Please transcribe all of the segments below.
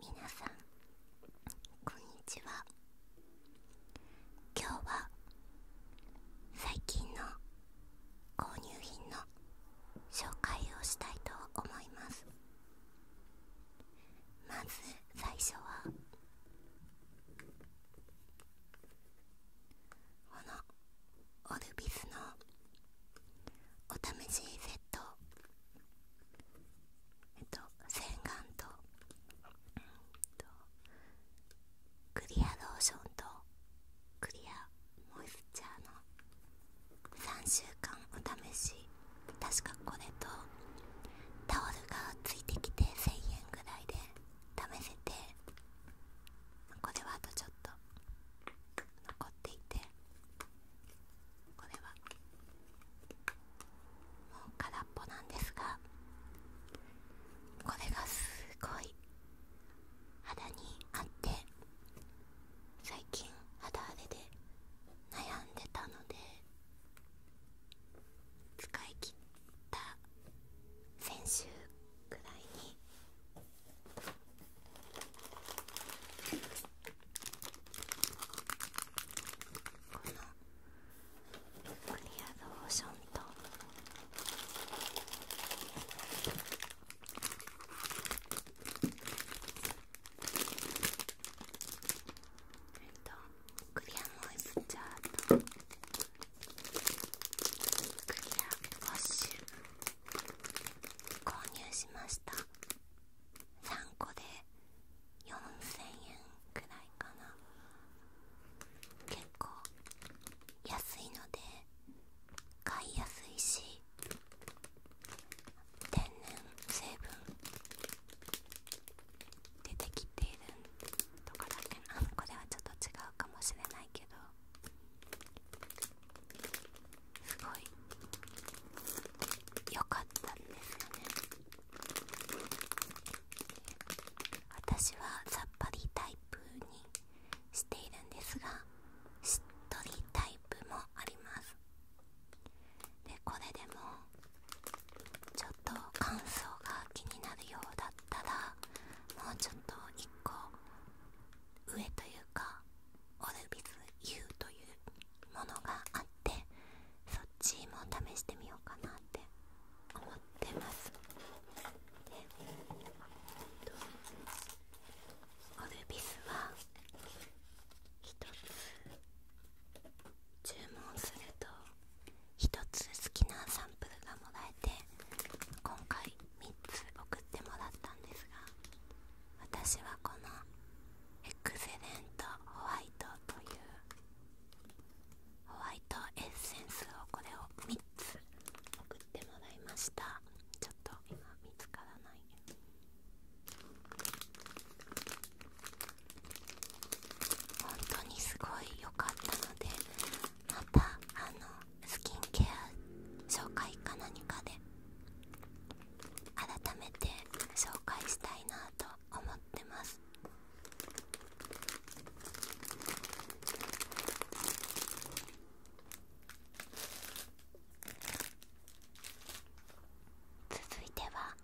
皆さんこんにちは今日は最近の購入品の紹介をしたいと思いますまず最初はこのオルビスのお試しセットえっと洗顔と,、クリアローションとクリアモイスチャーの3週間お試し確かこれとタオルがついてきて1000円ぐらいで試せてこれはあとちょっと残っていてこれはもう空っぽなんですがこれがすごい肌に合って最近肌荒れで悩んでたので使い切った先週くらいにこのクリアローションとえっとクリアモイスチャーとクリアウォッシュ購入しました。3個で4000円くらいかな結構安いので買いやすいし天然成分出てきているとかだけなこれはちょっと違うかもしれないけどすごい良かったんですよね私はさっぱりタイプにしているんですがしっとりタイプもありますでこれでもちょっと乾燥が気になるようだったらもうちょっと1個上というかオルビス U というものがあってそっちも試してみようかなって思ってますでオルビスは1つ注文すると1つ好きなサンプルがもらえて今回3つ送ってもらったんですが私はこのエクセレントホワイトというホワイトエッセンスをこれを3つ送ってもらいましたちょっと今見つからない本当にすごい良かったのでまたあのスキンケア紹介か何かで改めて紹介したいなと思ってます続いては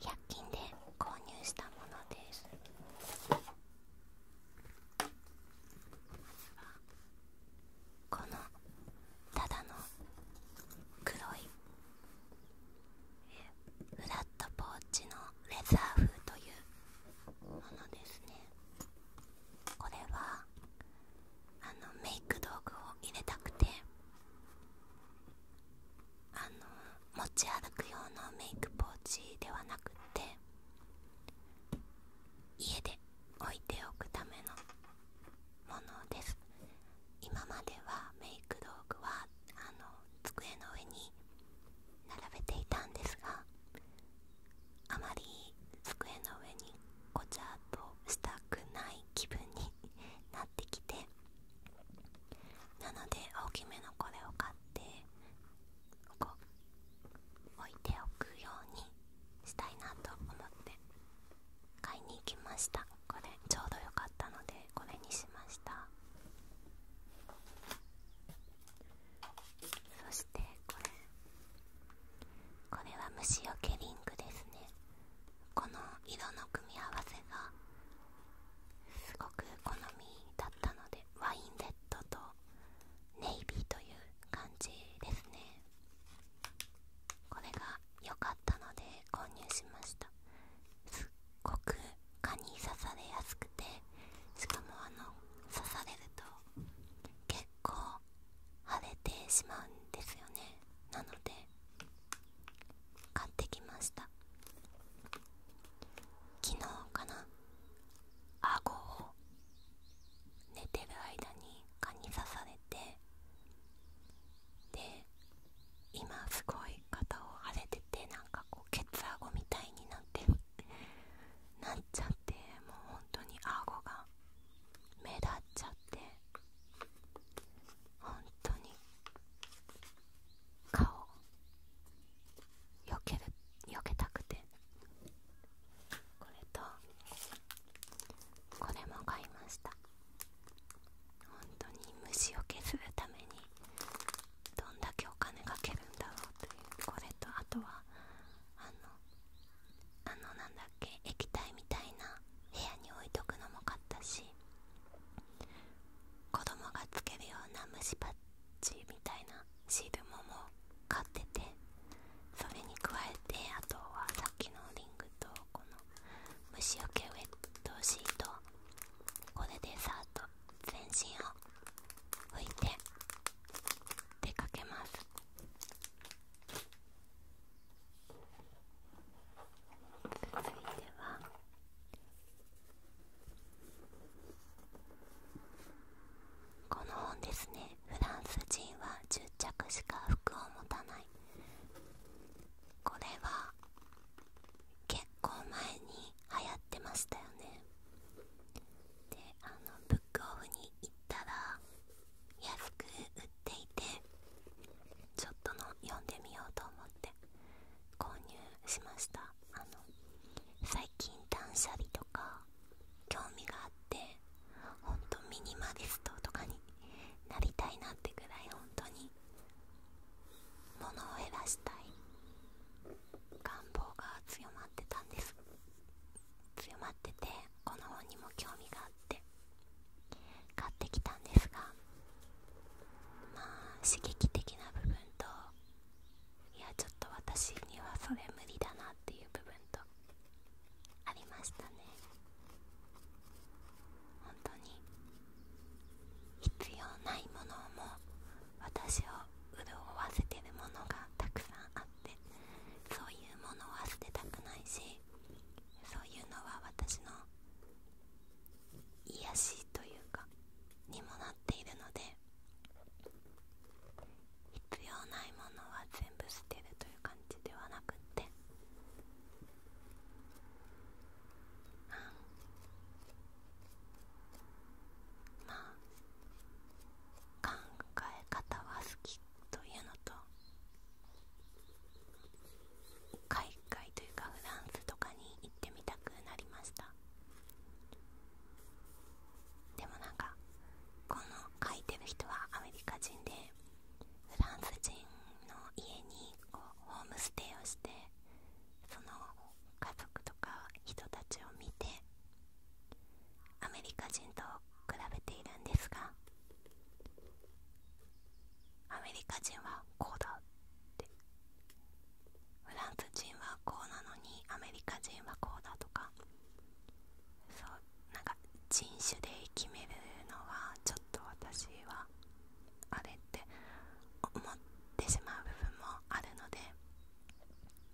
100均で購入したものですこのただの黒いフラットポーチのレザー風というものですねこれはあのメイク道具を入れたくてあの持ち歩く用のメイクポーチではなくて家で置いておくためのものです今まではメイク道具はあの机の上に並べていたんですがあまり机の上にごちゃっとしたくない気分になってきてなので大きめのこれを買ってこう置いておくようにしたいなと思って買いに行きましたこれちょうど良かったのでこれにしましたそしてこれこれは虫よけリングですねこの色の組み合わせがすごく好みだったのでワインレッドとネイビーという感じですねこれがあので購入しましたすっごく蚊に刺されやすくてしかもあの刺されると結構腫れてしまうんですよねなので買ってきました昨日かな顎を寝てる間に蚊に刺されてで今すごい肩を腫れててなんかこうケツあごみたいになってるなっちゃってもう本当にあごが目立っちゃって本当に顔よけるよけたくてこれとこれも買いました本当に虫をするためにどんだけお金かけるんだろうというこれとあとはあのあのなんだっけ液体みたいな部屋に置いとくのも買ったし子供がつけるような虫パッチみたいなシールもも買っててそれに加えてあとはさっきのリングとこの虫よけウェットシートこれでさっと全身を拭いて出かけます続いてはこの本ですねフランス人は10着しか服を持たないこれは結構前に流行ってましたよねであのブックオフに行ったら安く売っていてちょっとの読んでみようと思って購入しましたあの最近断捨離とか興味があってほんとミニマリストとかになりたいなってぐらい本当に物を減らしたい願望が強まってたんです強まっててこの本にも興味があって買ってきたんですがまあ刺激的な部分といやちょっと私にはそれ無理だなっていう部分とありましたね本当に必要ないものも私を潤わせてるものがたくさんあってそういうものは捨てたくないしそういうのは私の癒しというかにもなっているので必要ないものは全部捨てるという感じではなくってまあ考え方は好きというのと海外というかフランスとかに行ってみたくなりましたでもなんかこの書いてる人はアメリカ人でフランス人の家にホームステイをしてその家族とか人たちを見てアメリカ人と比べているんですがアメリカ人はこうだってフランス人はこうなのにアメリカ人はこうだとかそうなんか人種で決めるのはちょっと私はあれって思ってしまう部分もあるので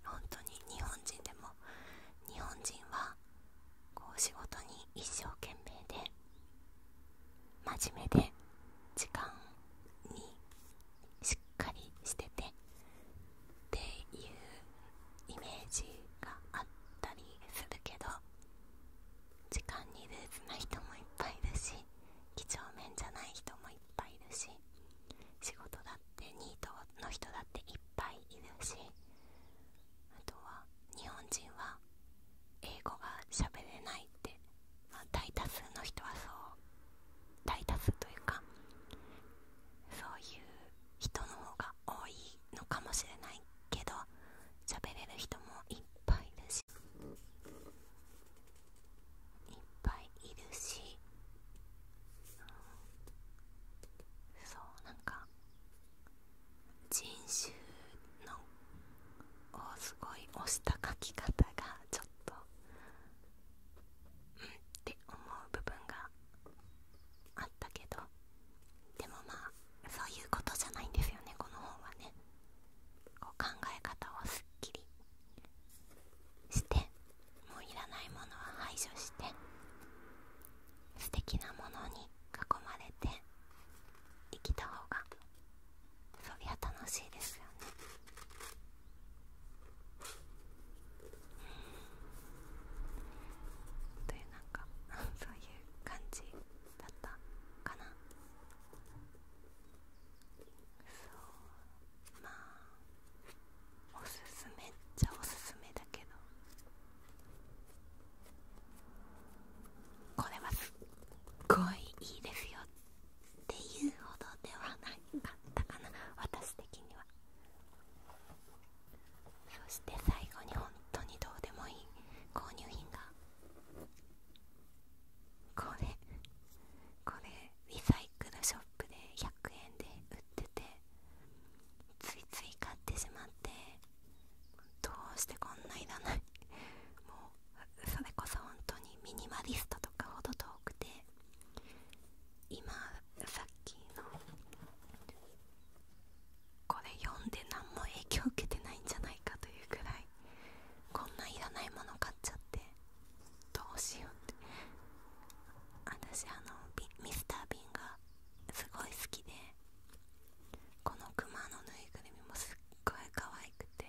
本当に日本人でも日本人はこう仕事に一生懸命で真面目で時間にしっかりしててっていうイメージがあったりするけど時間にルーズな人もいっぱいいるし几帳面じゃない人もいっぱいいるし仕事だってニートの人だっていっぱいいるしあとは日本人は英語が喋れないって、まあ、大多数の人はそう大多数というかそういう人の方が多いのかもしれないけど喋れる人もいっぱいいるしいっぱいいるし、そうなんか人種のをすごい押した書き方がちょっとうんって思う部分があったけどでもまあそういうことじゃないんですよねこの本はねこう考え方をすっきりしてもういらないものは排除して素敵なものに囲まれて生きた方がそりゃ楽しいですよねというなんか そういう感じだったかなそうまあおすすめっちゃおすすめだけどこれはすっごいいいですよっていうほどではなかったかな私的にはそして最後に本当にどうでもいい購入品がこれこれリサイクルショップで100円で売っててついつい買ってしまってどうしてこんないらないもうそれこそ本当にミニマリストとかほど遠くて今さっきのこれ読んで何も影響受けてないんじゃないかというくらいこんないらないもの買っちゃってどうしようって私あのミスター・ビンがすごい好きでこのクマのぬいぐるみもすっごい可愛くて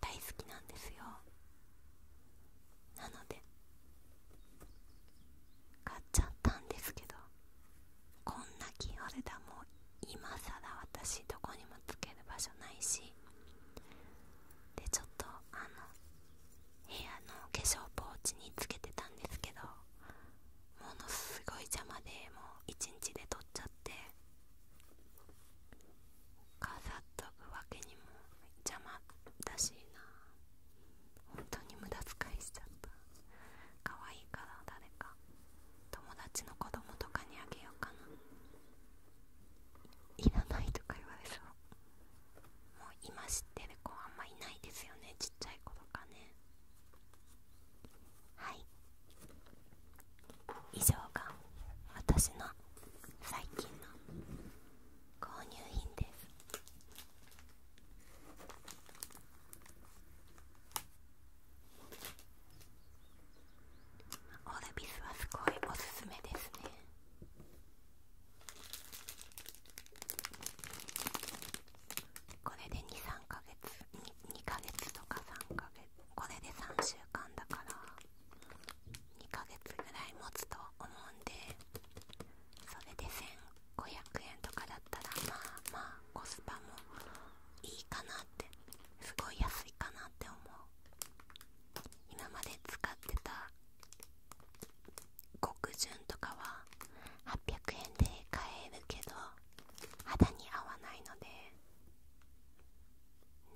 大好きなんですよなので買っちゃったんですけどこんなキーホルダーも今更私どこにもつける場所ないしでちょっとあの部屋の化粧ポーチにつけてたんですけどものすごい邪魔でもう1日で取っちゃって飾っとくわけにも邪魔だしな本当に無駄遣いしちゃった可愛いから誰か友達の子供とかにあげようかないらないとか言われそうもう今知ってる子あんまいないですよねちっちゃい頃かねはい以上が私の最近の購入品ですオルビスはすごいおすすめですねこれで23ヶ月 2, 2ヶ月とか3ヶ月これで3週間だから2ヶ月ぐらい持つと思うんでそれで1500円とかだったらまあまあコスパもいいかなってすごい安いかなって思う今まで使ってた極潤とかは800円で買えるけど肌に合わないので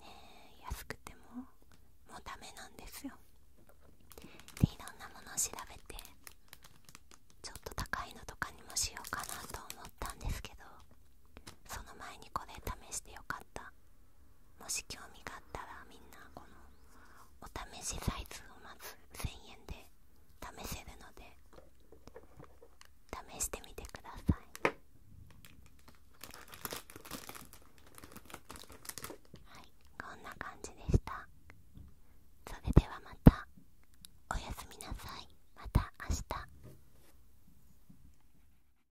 ねえ安くてももうだめなんですよでいろんなものを調べてちょっと高いのとかにもしようかなと思ったんですけどその前にこれ試してよかったもし興味があったらみんなこのお試しサイズをまず1000円で試せるので試してみてくださいはいこんな感じでしたそれではまたおやすみなさいまた明日